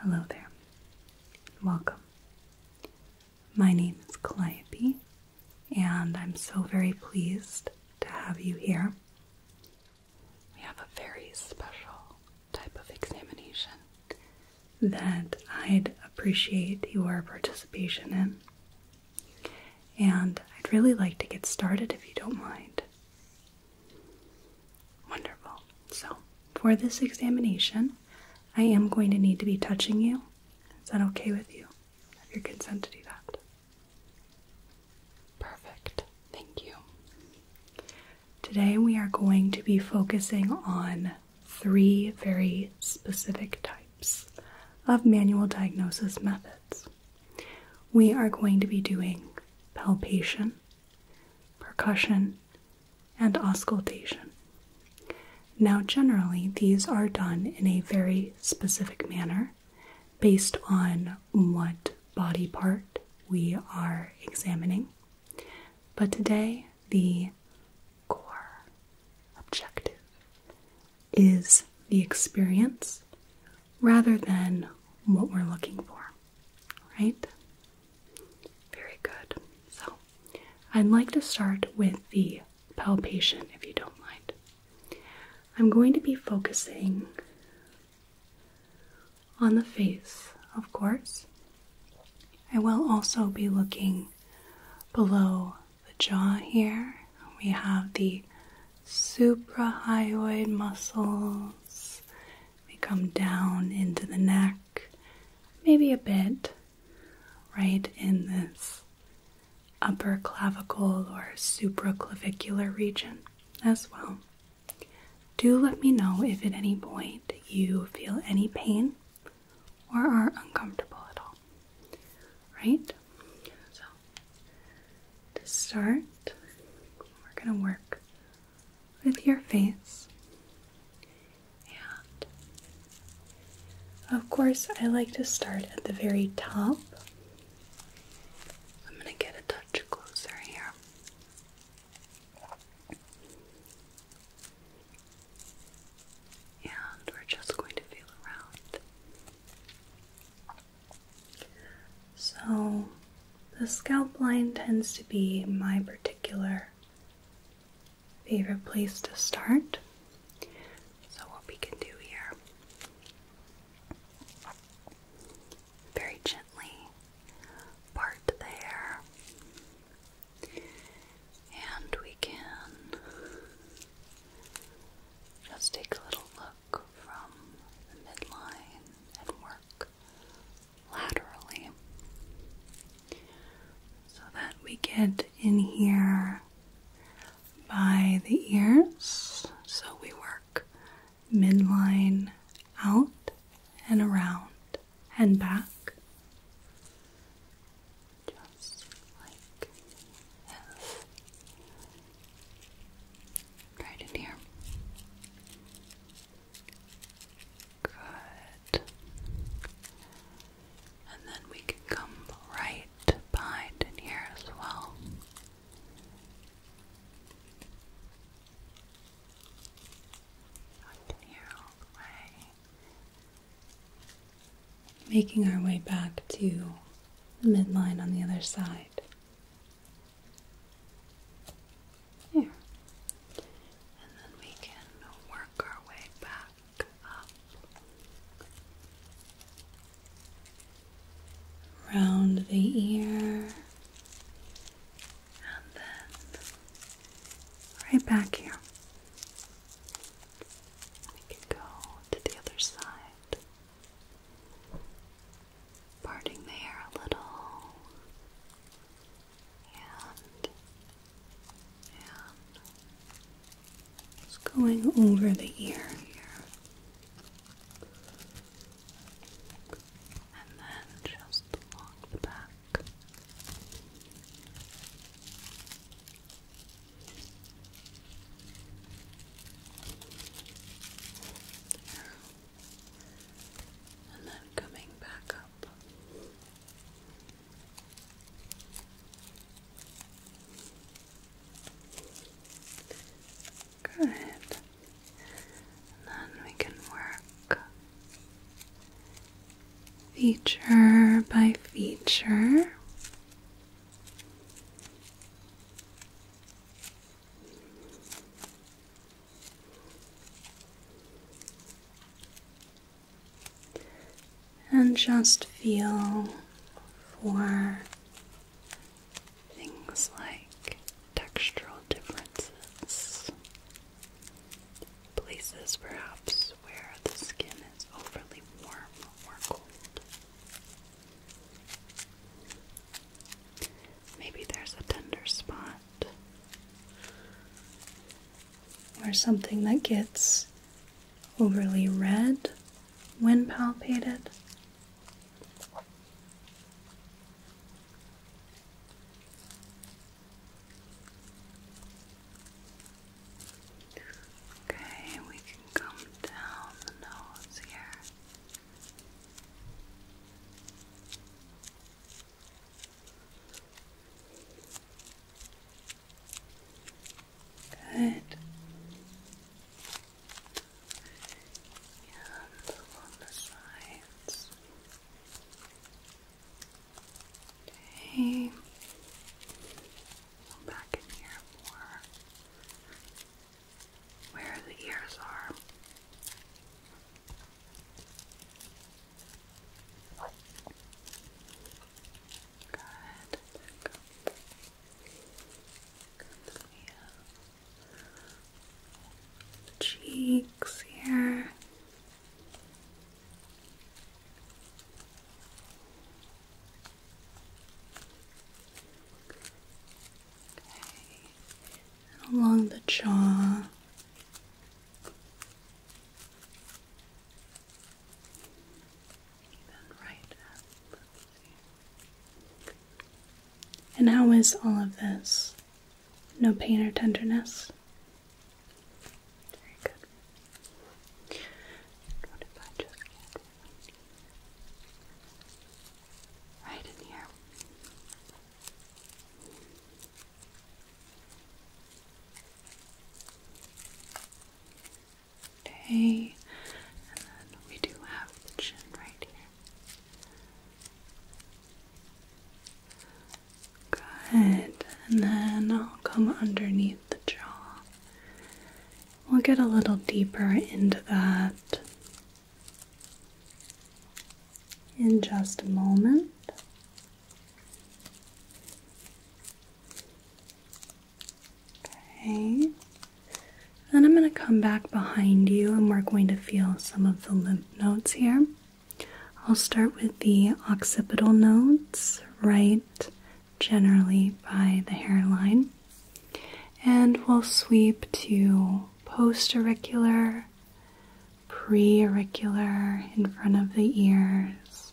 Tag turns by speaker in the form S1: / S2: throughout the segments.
S1: Hello there. Welcome. My name is Calliope, and I'm so very pleased to have you here. We have a very special type of examination that I'd appreciate your participation in. And I'd really like to get started if you don't mind. Wonderful. So, for this examination, I am going to need to be touching you. Is that okay with you? Have your consent to do that? Perfect. Thank you. Today, we are going to be focusing on three very specific types of manual diagnosis methods. We are going to be doing palpation, percussion, and auscultation. Now, generally, these are done in a very specific manner based on what body part we are examining. But today, the core objective is the experience rather than what we're looking for. Right? Very good. So, I'd like to start with the palpation if you don't mind. I'm going to be focusing on the face, of course. I will also be looking below the jaw here. We have the suprahyoid muscles. They come down into the neck maybe a bit, right in this upper clavicle or supraclavicular region as well. Do let me know if at any point you feel any pain or are uncomfortable at all. Right? So, to start, we're going to work with your face. And of course, I like to start at the very top. I'm going to get a touch closer here. And we're just going to feel around. So, the scalp line tends to be my particular favorite place to start. So, what we can do here, very gently part the hair, and we can just take a little look from the midline and work laterally so that we get in here by the ears. So we work midline out and around and back, just like this. Right in here. Good. And then we can come right behind in here as well. Back in here all the way. Making our way back to the midline on the other side. Here, And then we can work our way back up. Round the ear. And then right back here. We can go to the other side. Parting the hair a little and and going over the ear here, and then just along the back and then coming back up. Good. And then we can work feature by feature. And just feel for things like textural differences, places perhaps where the skin is overly warm or cold. Maybe there's a tender spot or something that gets overly red when palpated. Okay, we can come down the nose here. Good. And along the sides. Okay. Go back in here more. Where the ears are. Good. Back up. Good. The cheeks here. Okay. along the jaw. And how is all of this? No pain or tenderness? right in here? Okay, and then we do have the chin right here. Good, and then I'll come underneath the jaw. We'll get a little deeper into that in just a moment. Okay. Then I'm going to come back behind you and we're going to feel some of the lymph nodes here. I'll start with the occipital nodes right generally by the hairline. And we'll sweep to post auricular preauricular in front of the ears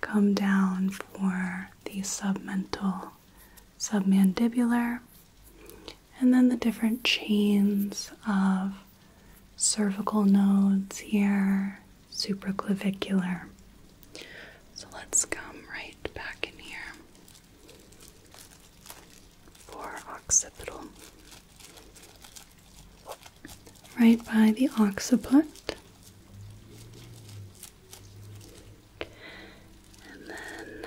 S1: come down for the submental, submandibular, and then the different chains of cervical nodes here, supraclavicular. So let's come right back in here for occipital right by the occiput. And then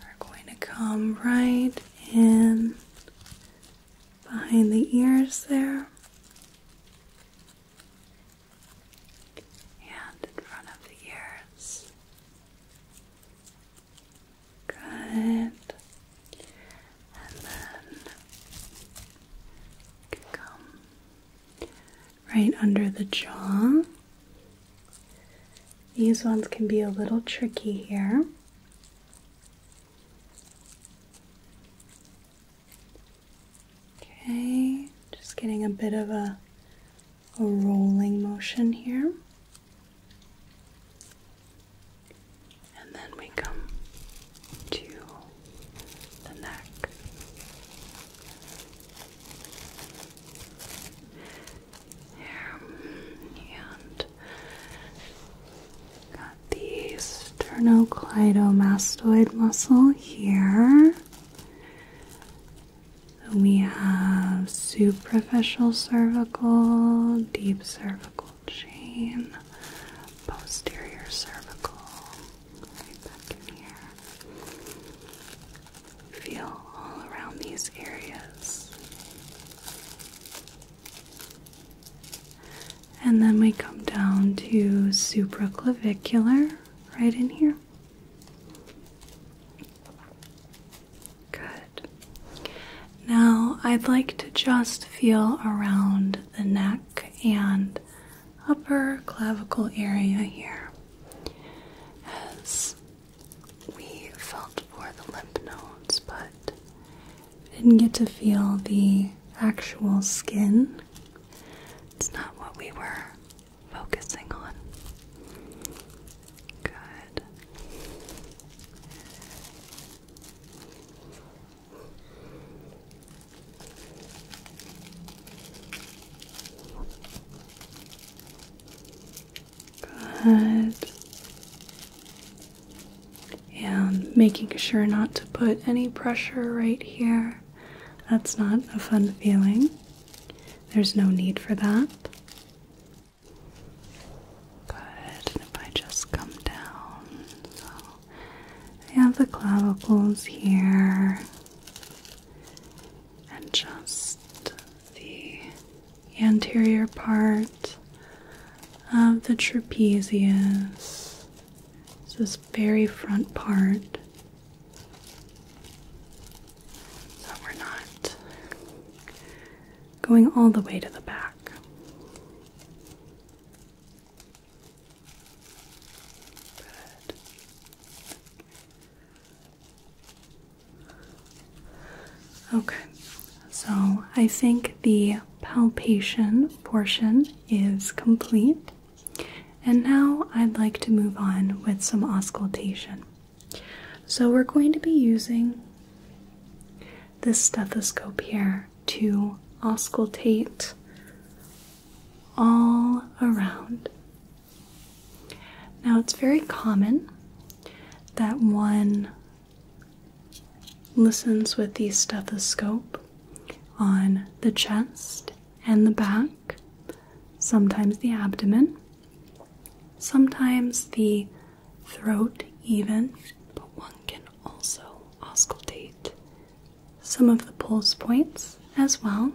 S1: we're going to come right in behind the ears there. And in front of the ears. Good. And then come right under the jaw. These ones can be a little tricky here. Okay, just getting a bit of a, a rolling motion here. And then we come to the neck. Here and got the sternocleidomastoid muscle here. We have superficial cervical, deep cervical chain, posterior cervical, right back in here. Feel all around these areas. And then we come down to supraclavicular, right in here. Good. Now I'd like to just feel around the neck and upper clavicle area here as we felt for the lymph nodes, but didn't get to feel the actual skin. It's not what we were focusing on. Good. Good. And making sure not to put any pressure right here. That's not a fun feeling. There's no need for that. Good, if I just come down, so I have the clavicles here and just the anterior part of the trapezius. this very front part. So we're not going all the way to the back. Good. Okay, so I think the palpation portion is complete. And now I'd like to move on with some auscultation. So we're going to be using this stethoscope here to auscultate all around. Now, it's very common that one listens with the stethoscope on the chest and the back, sometimes the abdomen, sometimes the throat even, but one can also auscultate some of the pulse points as well.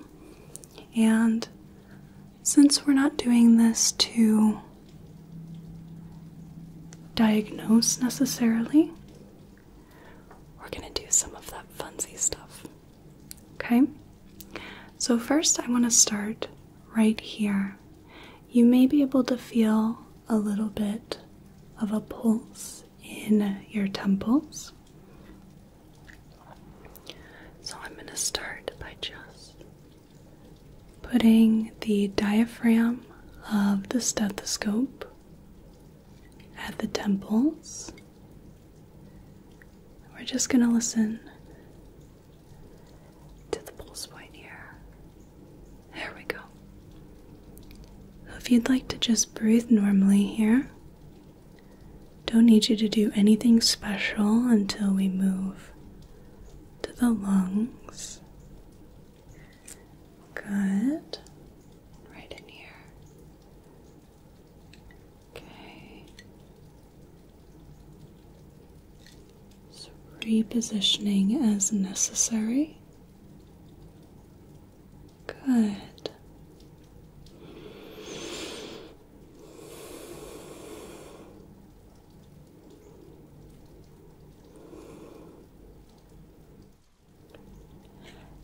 S1: And since we're not doing this to diagnose necessarily, we're going to do some of that funsy stuff. Okay? So, first, I want to start right here you may be able to feel a little bit of a pulse in your temples. So I'm going to start by just putting the diaphragm of the stethoscope at the temples. We're just going to listen to the pulse point here. There we go. if you'd like to just breathe normally here, don't need you to do anything special until we move to the lungs. Good. Right in here. Okay. So repositioning as necessary. Good.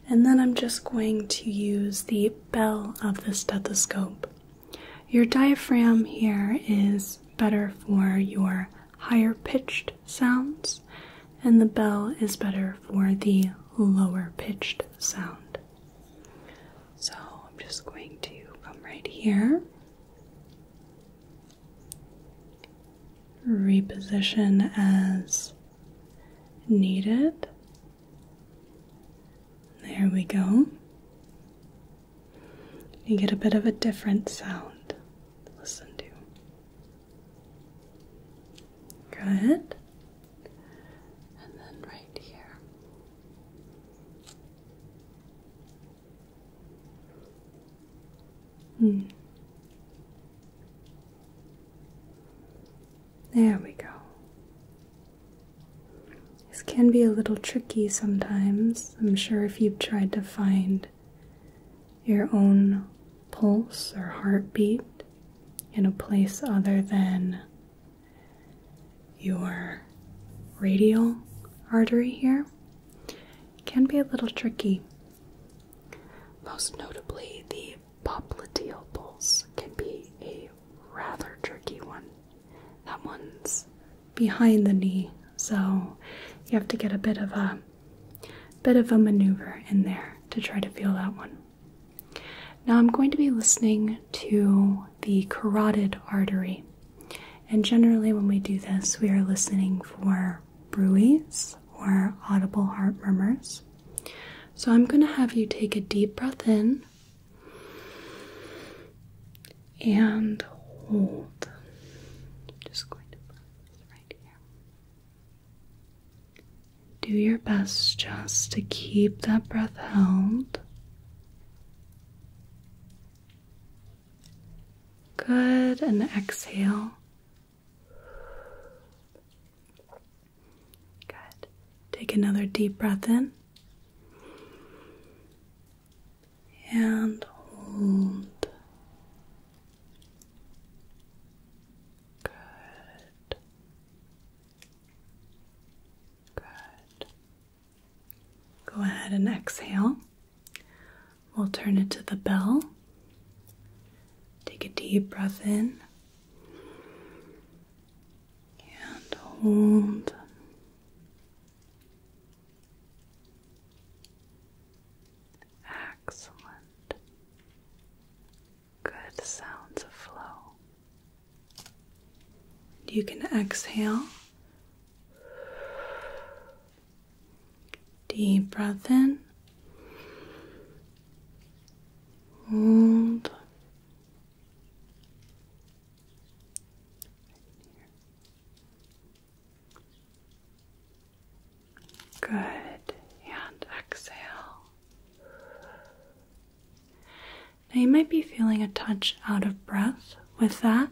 S1: And then I'm just going to use the bell of the stethoscope. Your diaphragm here is better for your higher pitched sounds, and the bell is better for the lower pitched sound. So I'm just going to come right here, reposition as needed. There we go. You get a bit of a different sound listen to. Good. And then right here. Hmm. There we go. This can be a little tricky sometimes. I'm sure if you've tried to find your own pulse or heartbeat in a place other than your radial artery here can be a little tricky. Most notably, the popliteal pulse can be a rather tricky one. That one's behind the knee, so you have to get a bit of a bit of a maneuver in there to try to feel that one. Now I'm going to be listening to the carotid artery. And generally when we do this, we are listening for bruise or audible heart murmurs. So I'm going to have you take a deep breath in and hold. just going to put right here. Do your best just to keep that breath held. Good, and exhale. Good. Take another deep breath in and hold. Good. Good. Go ahead and exhale. We'll turn it to the bell. Take a deep breath in and hold. Excellent. Good sounds of flow. You can exhale. Deep breath in. Hold. Good. And exhale. Now you might be feeling a touch out of breath with that.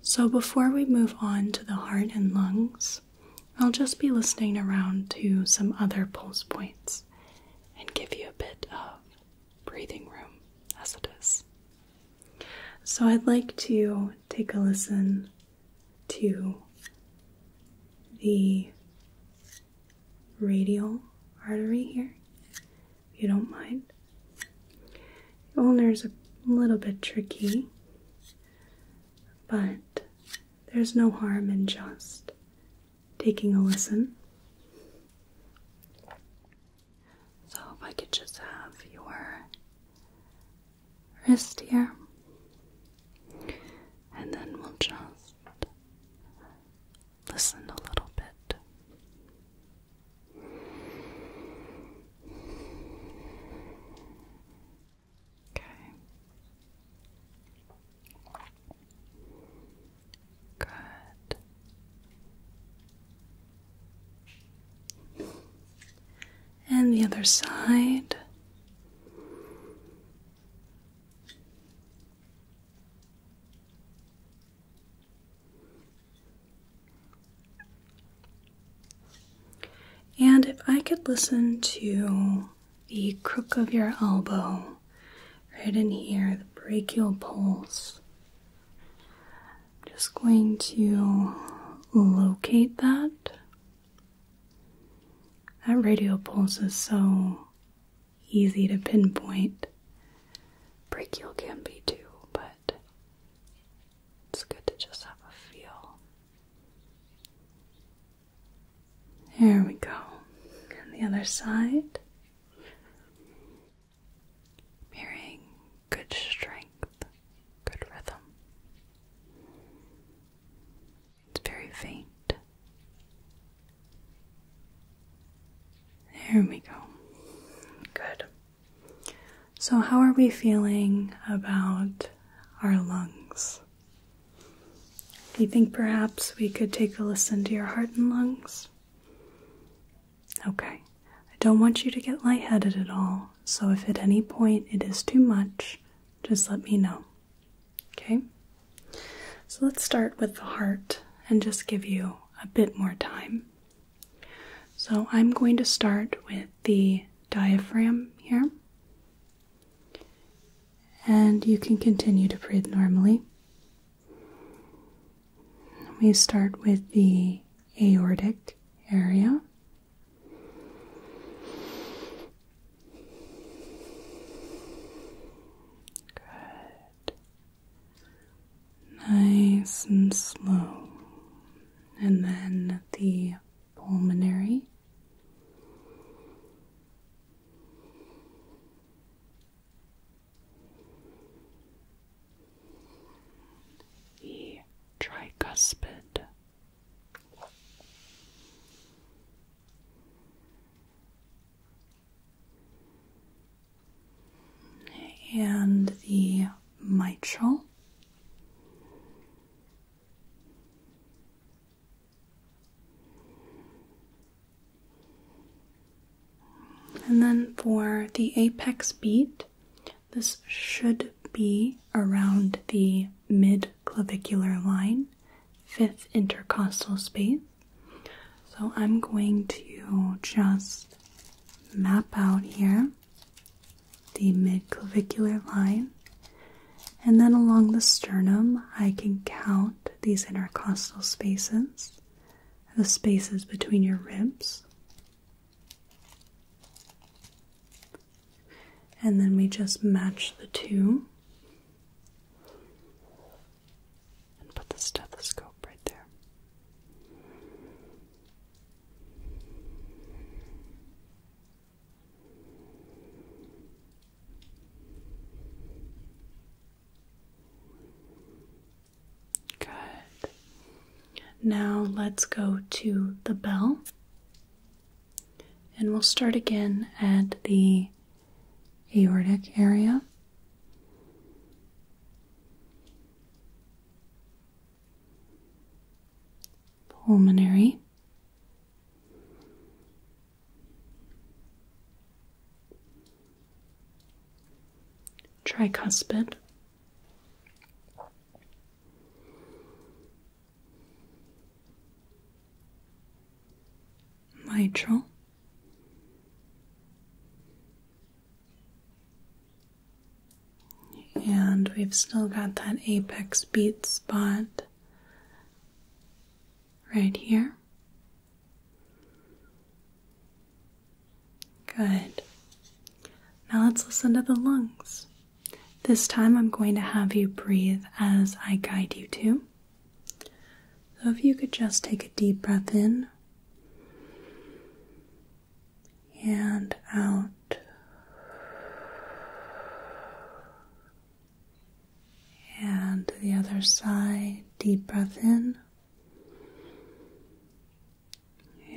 S1: So before we move on to the heart and lungs, I'll just be listening around to some other pulse points and give you a bit of breathing room as it is. So I'd like to take a listen to the radial artery here, if you don't mind. The ulnar is a little bit tricky, but there's no harm in just taking a listen. So if I could just have your wrist here, and then we'll just listen a little bit. Okay. Good and the other side. And if I could listen to the crook of your elbow, right in here, the brachial pulse, I'm just going to locate that. That radial pulse is so easy to pinpoint. Brachial can be too, but it's good to just have a feel. There we go. And the other side. Mirroring good strength, good rhythm. It's very faint. There we go. Good. So, how are we feeling about our lungs? Do you think perhaps we could take a listen to your heart and lungs? Okay, I don't want you to get lightheaded at all, so if at any point it is too much, just let me know. Okay? So let's start with the heart and just give you a bit more time. So I'm going to start with the diaphragm here. And you can continue to breathe normally. We start with the aortic area. Good. Nice and slow. And then the pulmonary the tricuspid. And the mitral and then for the apex beat this should be around the mid-clavicular line, fifth intercostal space. So I'm going to just map out here the mid-clavicular line. And then along the sternum, I can count these intercostal spaces, the spaces between your ribs and then we just match the two and put the stethoscope right there. Good. Now let's go to the bell. And we'll start again at the aortic area. Pulmonary. Tricuspid mitral and we've still got that apex beat spot right here Good. Now let's listen to the lungs. This time I'm going to have you breathe as I guide you to. So if you could just take a deep breath in and out. And to the other side, deep breath in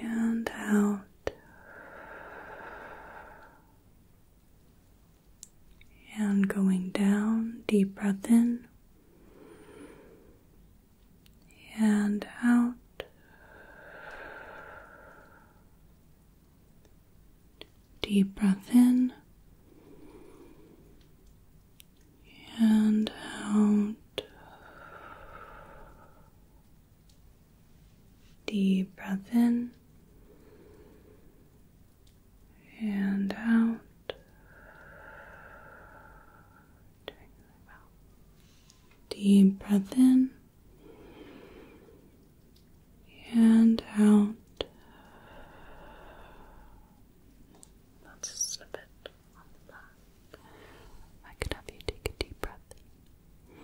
S1: and out. And going down, deep breath in and out. Deep breath in and out. Deep breath in and out. Deep breath in and out. Let's slip it on the I could have you take a deep breath out.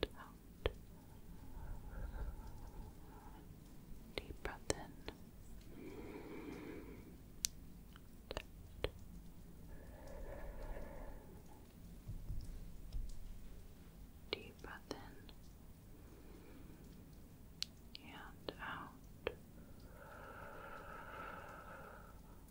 S1: Deep breath in. out. Deep breath in and out.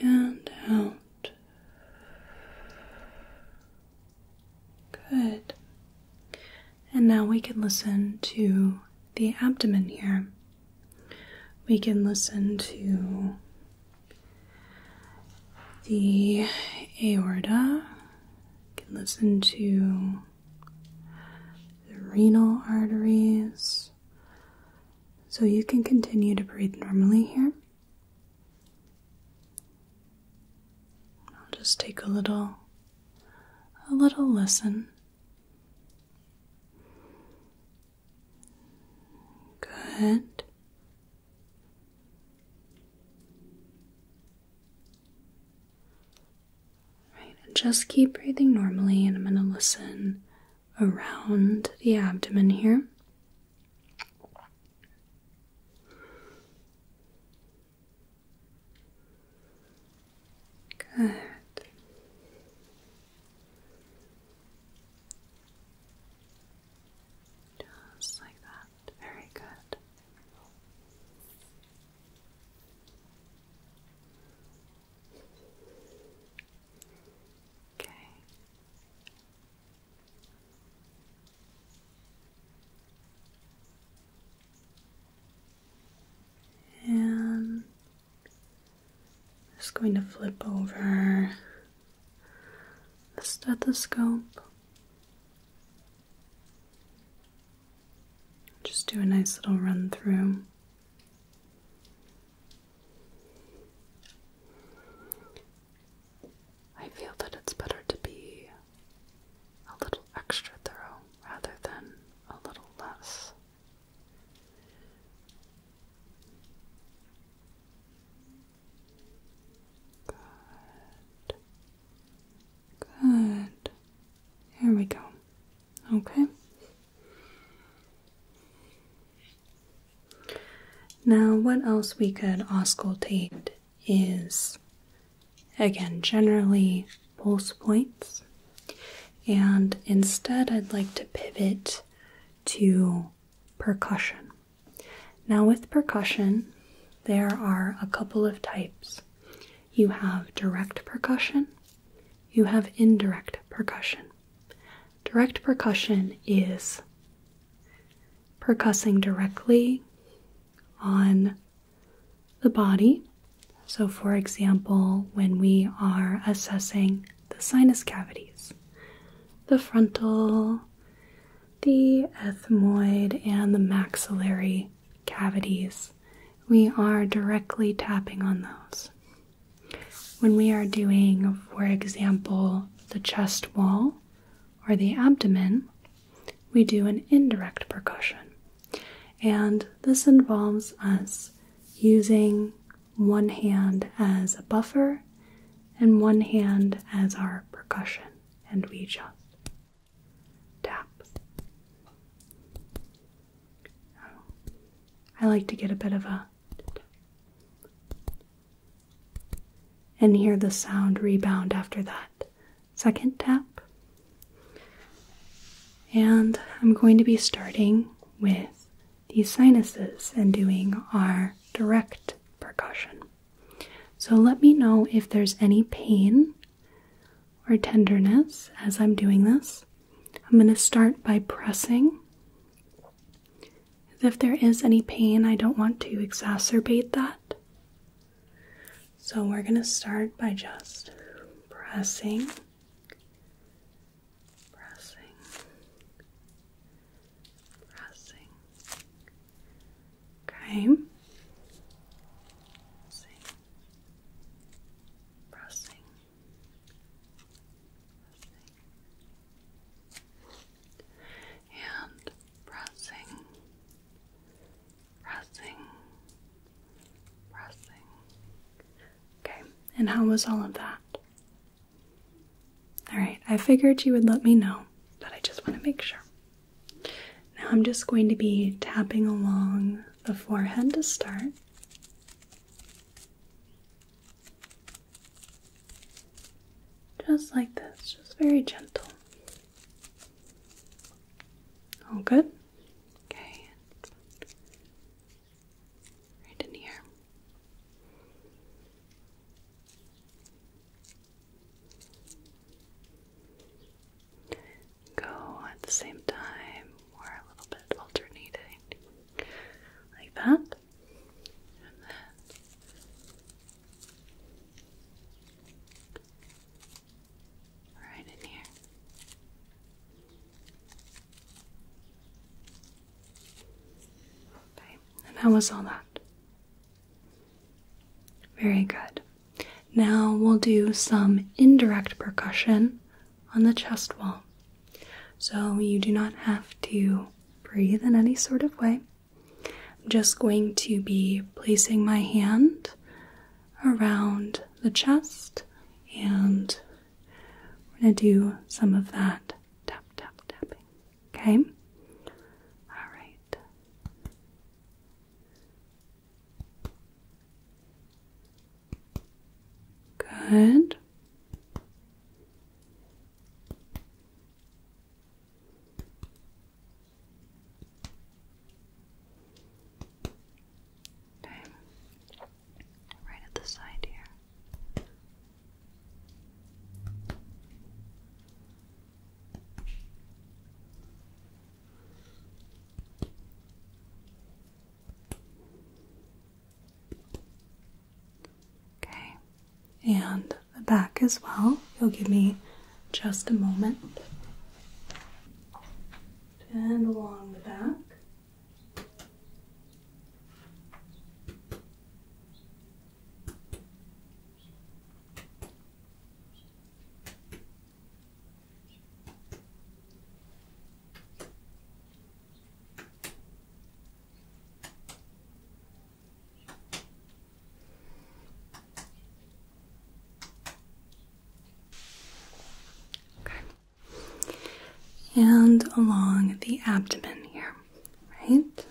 S1: and out. Good. And now we can listen to the abdomen here. We can listen to the aorta. We can listen to the renal arteries. So you can continue to breathe normally here. I'll just take a little a little listen. Good just keep breathing normally, and I'm going to listen around the abdomen here. Good. Just like that. Very good. Okay. And I'm just going to flip over the stethoscope. Just do a nice little run through. I feel that it's better to be a little extra thorough rather than a little less. Good. Good. Here we go. Okay. Now, what else we could auscultate is again generally pulse points, and instead, I'd like to pivot to percussion. Now, with percussion, there are a couple of types you have direct percussion, you have indirect percussion. Direct percussion is percussing directly on the body. So, for example, when we are assessing the sinus cavities, the frontal, the ethmoid, and the maxillary cavities we are directly tapping on those. When we are doing, for example, the chest wall or the abdomen, we do an indirect percussion. And this involves us using one hand as a buffer and one hand as our percussion, and we just tap, I like to get a bit of a and hear the sound rebound after that second tap. And I'm going to be starting with the sinuses and doing our direct percussion. So let me know if there's any pain or tenderness as I'm doing this. I'm going to start by pressing. If there is any pain, I don't want to exacerbate that. So we're going to start by just pressing, pressing, pressing. Okay. Pressing, and pressing, pressing, pressing. Okay, and how was all of that? Alright, I figured you would let me know, but I just want to make sure. Now I'm just going to be tapping along the forehead to start. Just like this, just very gentle. All good? Okay. Right in here go at the same time or a little bit alternating like that. right in here. Okay, and how was all that? Very good. Now we'll do some indirect percussion on the chest wall. So you do not have to breathe in any sort of way. I'm just going to be placing my hand around the chest and we're going to do some of that tap, tap, tapping. Okay? All right. Good. Okay. Right at the side here. Okay, and the back as well. You'll give me just a moment. And along the back. Okay. And along the abdomen here, right?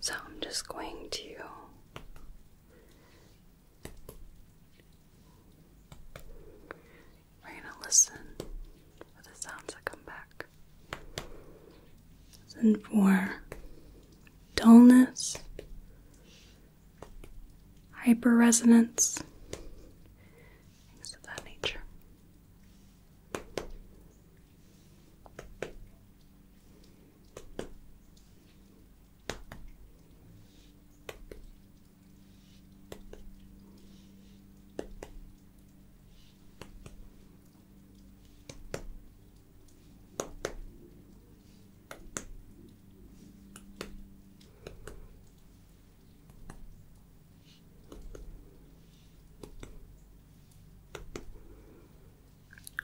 S1: So I'm just going to we're gonna listen for the sounds that come back. Listen for dullness, hyperresonance, things of that nature.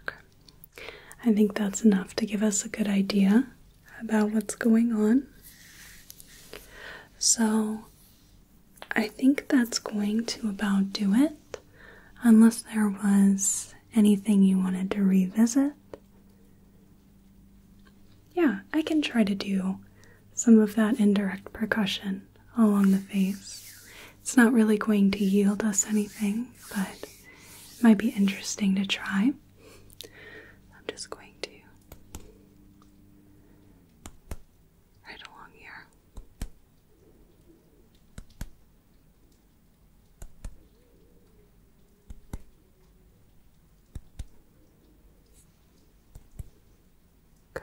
S1: Okay. I think that's enough to give us a good idea about what's going on. So I think that's going to about do it, unless there was anything you wanted to revisit. Yeah, I can try to do some of that indirect percussion along the face. It's not really going to yield us anything, but it might be interesting to try. I'm just going to Right along here. Good.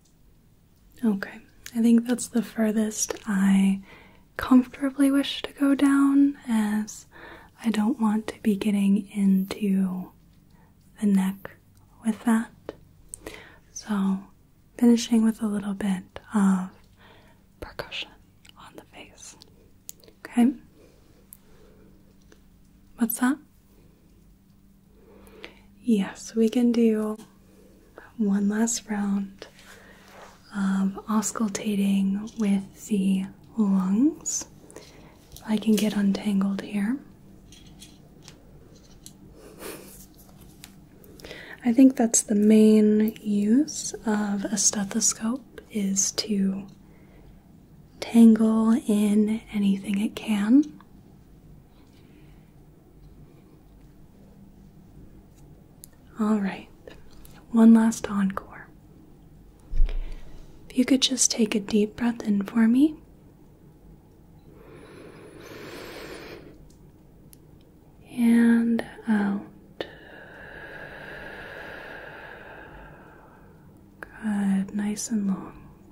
S1: Okay, I think that's the furthest I comfortably wish to go down as I don't want to be getting into the neck with that. So, finishing with a little bit of percussion on the face. Okay? What's that? Yes, we can do one last round of auscultating with the lungs. I can get untangled here. I think that's the main use of a stethoscope is to tangle in anything it can. All right, one last encore. If you could just take a deep breath in for me. And out. Good, nice and long.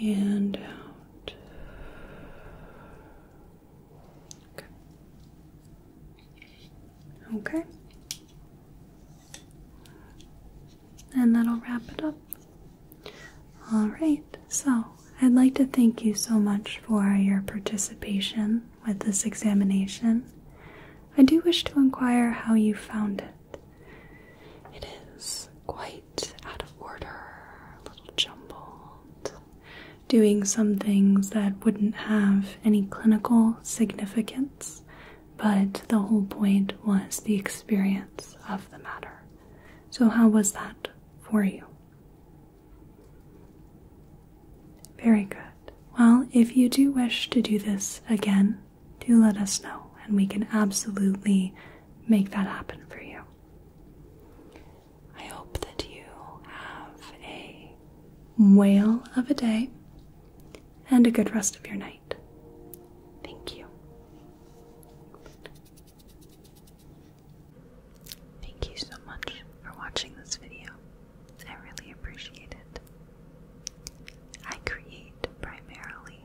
S1: and out. Okay. Okay. And that'll wrap it up. All right. So, I'd like to thank you so much for your participation with this examination. I do wish to inquire how you found it. It is quite out of order, a little jumbled, doing some things that wouldn't have any clinical significance, but the whole point was the experience of the matter. So, how was that for you? Very good. Well, if you do wish to do this again, do let us know, and we can absolutely make that happen for you. I hope that you have a whale of a day and a good rest of your night. Thank you. Thank you so much for watching this video. I really appreciate it. I create primarily